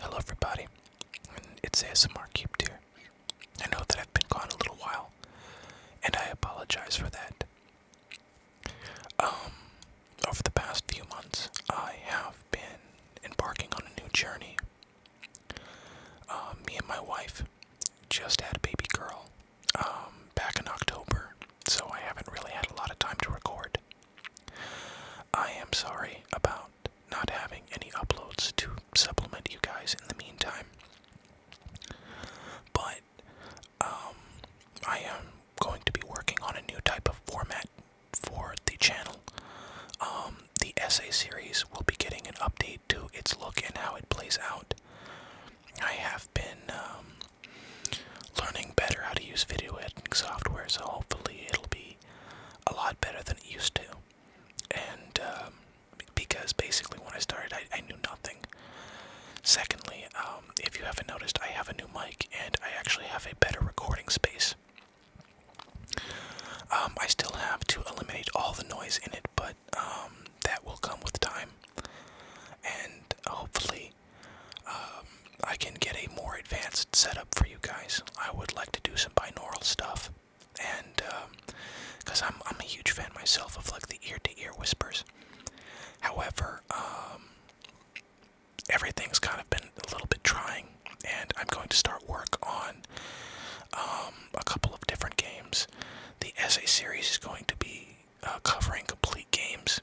Hello everybody, and it's ASMR Cube here. I know that I've been gone a little while, and I apologize for that. Um, over the past few months, I have been embarking on a new journey. Um, me and my wife just had a baby girl um, back in October, so I haven't really had a lot of time to record. I am sorry about not having any uploads to supplement you guys in the meantime. But um, I am going to be working on a new type of format for the channel. Um, the essay series will be getting an update to its look and how it plays out. I have been um, learning better how to use video editing software, so hopefully it'll be a lot better than it used to. And um, because basically when I started, I, I knew nothing. Secondly, um, if you haven't noticed, I have a new mic and I actually have a better recording space. Um, I still have to eliminate all the noise in it, but that will come with time. And hopefully, um, I can get a more advanced setup for you guys. I would like to do some binaural stuff, and because um, I'm I'm a huge fan myself of like the ear-to-ear whispers. However, um, everything's kind of been a little bit trying, and I'm going to start work on a couple of different games. The essay series is going to be uh, covering complete games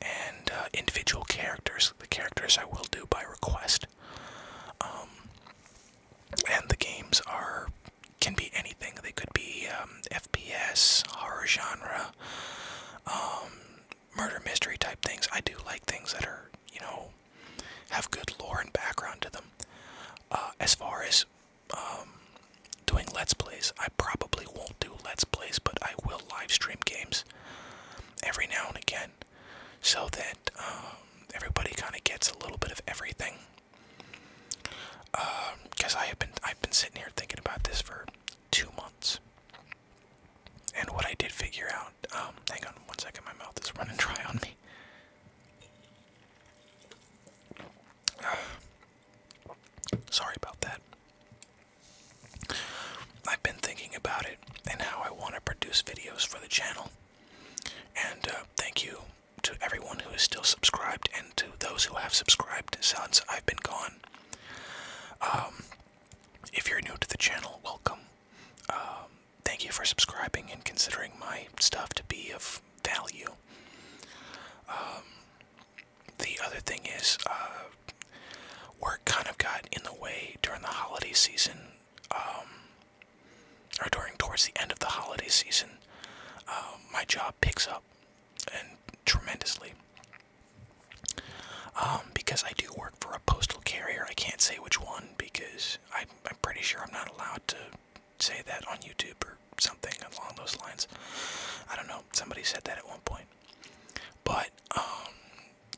and uh, individual characters. The characters I will do by request. Um, and the games are can be anything. They could be um, FPS, horror genre, um, murder mystery type things. I do like things that are you know have good lore and background to them. Uh, as far as doing Let's Plays. I probably won't do Let's Plays, but I will live stream games every now and again so that um, everybody kind of gets a little bit of everything. Because um, I have been, I've been sitting here thinking about this for two months. And what I did figure out, um, hang on one second, my mouth is running dry on me. Sorry about that. I've been thinking about it and how I want to produce videos for the channel. And uh, thank you to everyone who is still subscribed and to those who have subscribed since I've been gone. Um, if you're new to the channel, welcome. Um, thank you for subscribing and considering my stuff to be of value. Um, the other thing is uh, work kind of got in the way during the holiday season um, or during towards the end of the holiday season um, my job picks up and tremendously um, because I do work for a postal carrier I can't say which one because I, I'm pretty sure I'm not allowed to say that on YouTube or something along those lines. I don't know. Somebody said that at one point. But um,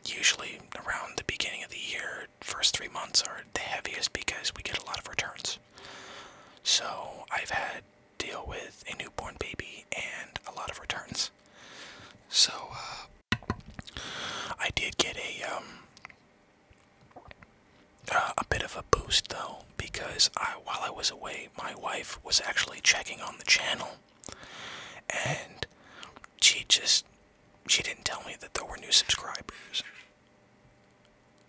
usually around the beginning of the year, first three months are the heaviest because we get a lot of returns. So I've had deal with a newborn baby and a lot of returns. So uh, I did get a um, uh, a bit of a boost though, because while I was away, my wife was actually checking on the channel, and she just she didn't tell me that there were new subscribers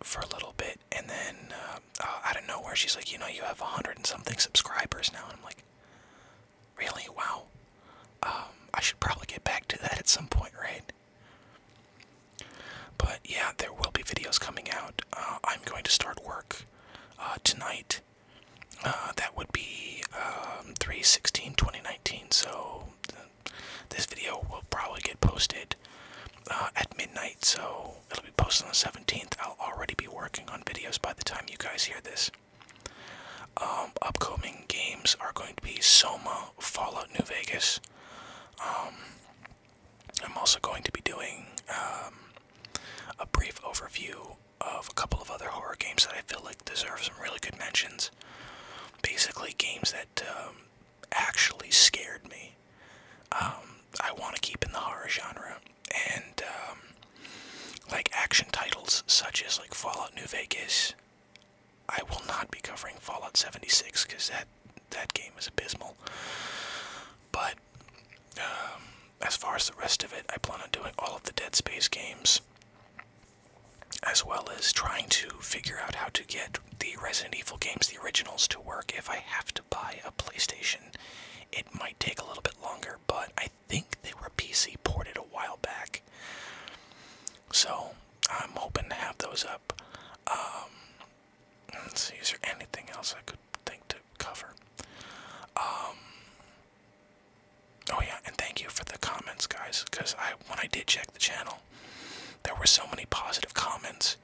for a little bit, and then uh, uh, out of nowhere she's like, you know, you have a hundred and something subscribers now, and I'm like, really? Wow. Um, I should probably get back to that at some point, right? But yeah, there will be videos coming out. Uh, I'm going to start work uh, tonight. Uh, that would be um, 3 16 2019. So this video will probably get posted at midnight. So it'll be posted on the 17th. I'll already be working on videos by the time you guys hear this. Um, upcoming games are going to be Soma, Fallout New Vegas, um, I'm also going to be doing um, a brief overview of a couple of other horror games that I feel like deserve some really good mentions. Basically, games that um, actually scared me. I want to keep in the horror genre, and like action titles such as like Fallout New Vegas, I will not be covering Fallout 76 because that that game is abysmal. But um, as far as the rest of it, I plan on doing all of the Dead Space games, as well as trying to figure out how to get the Resident Evil games, the originals, to work. If I have to buy a PlayStation, it might take a little bit longer, but I think they were PC ported a while back. So I'm hoping to have those up. Um, see, is there anything else I could think to cover? Um, oh yeah, and thank you for the comments, guys. Because when I did check the channel, there were so many positive comments.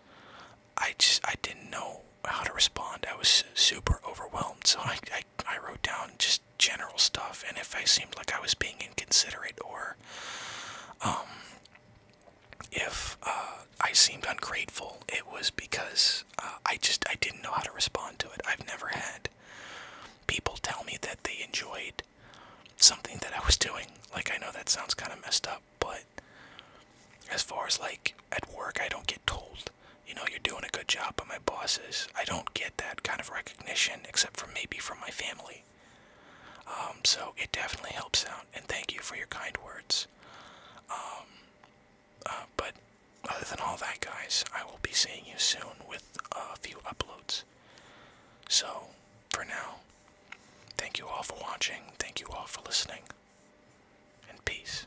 I just I didn't know how to respond. I was super overwhelmed, so I I, wrote down just general stuff, and if I seemed like I was being inconsiderate or um, if uh, I seemed ungrateful, it was because uh, I just I didn't know how to respond to it. I've never had people tell me that they enjoyed something that I was doing. Like I know that sounds kind of messed up, but as far as like at work, I don't get told you know, you're doing a good job by my bosses. I don't get that kind of recognition except for maybe from my family. Um, so it definitely helps out, and thank you for your kind words. Um, uh, but other than all that, guys, I will be seeing you soon with a few uploads. So, for now, thank you all for watching, thank you all for listening, and peace.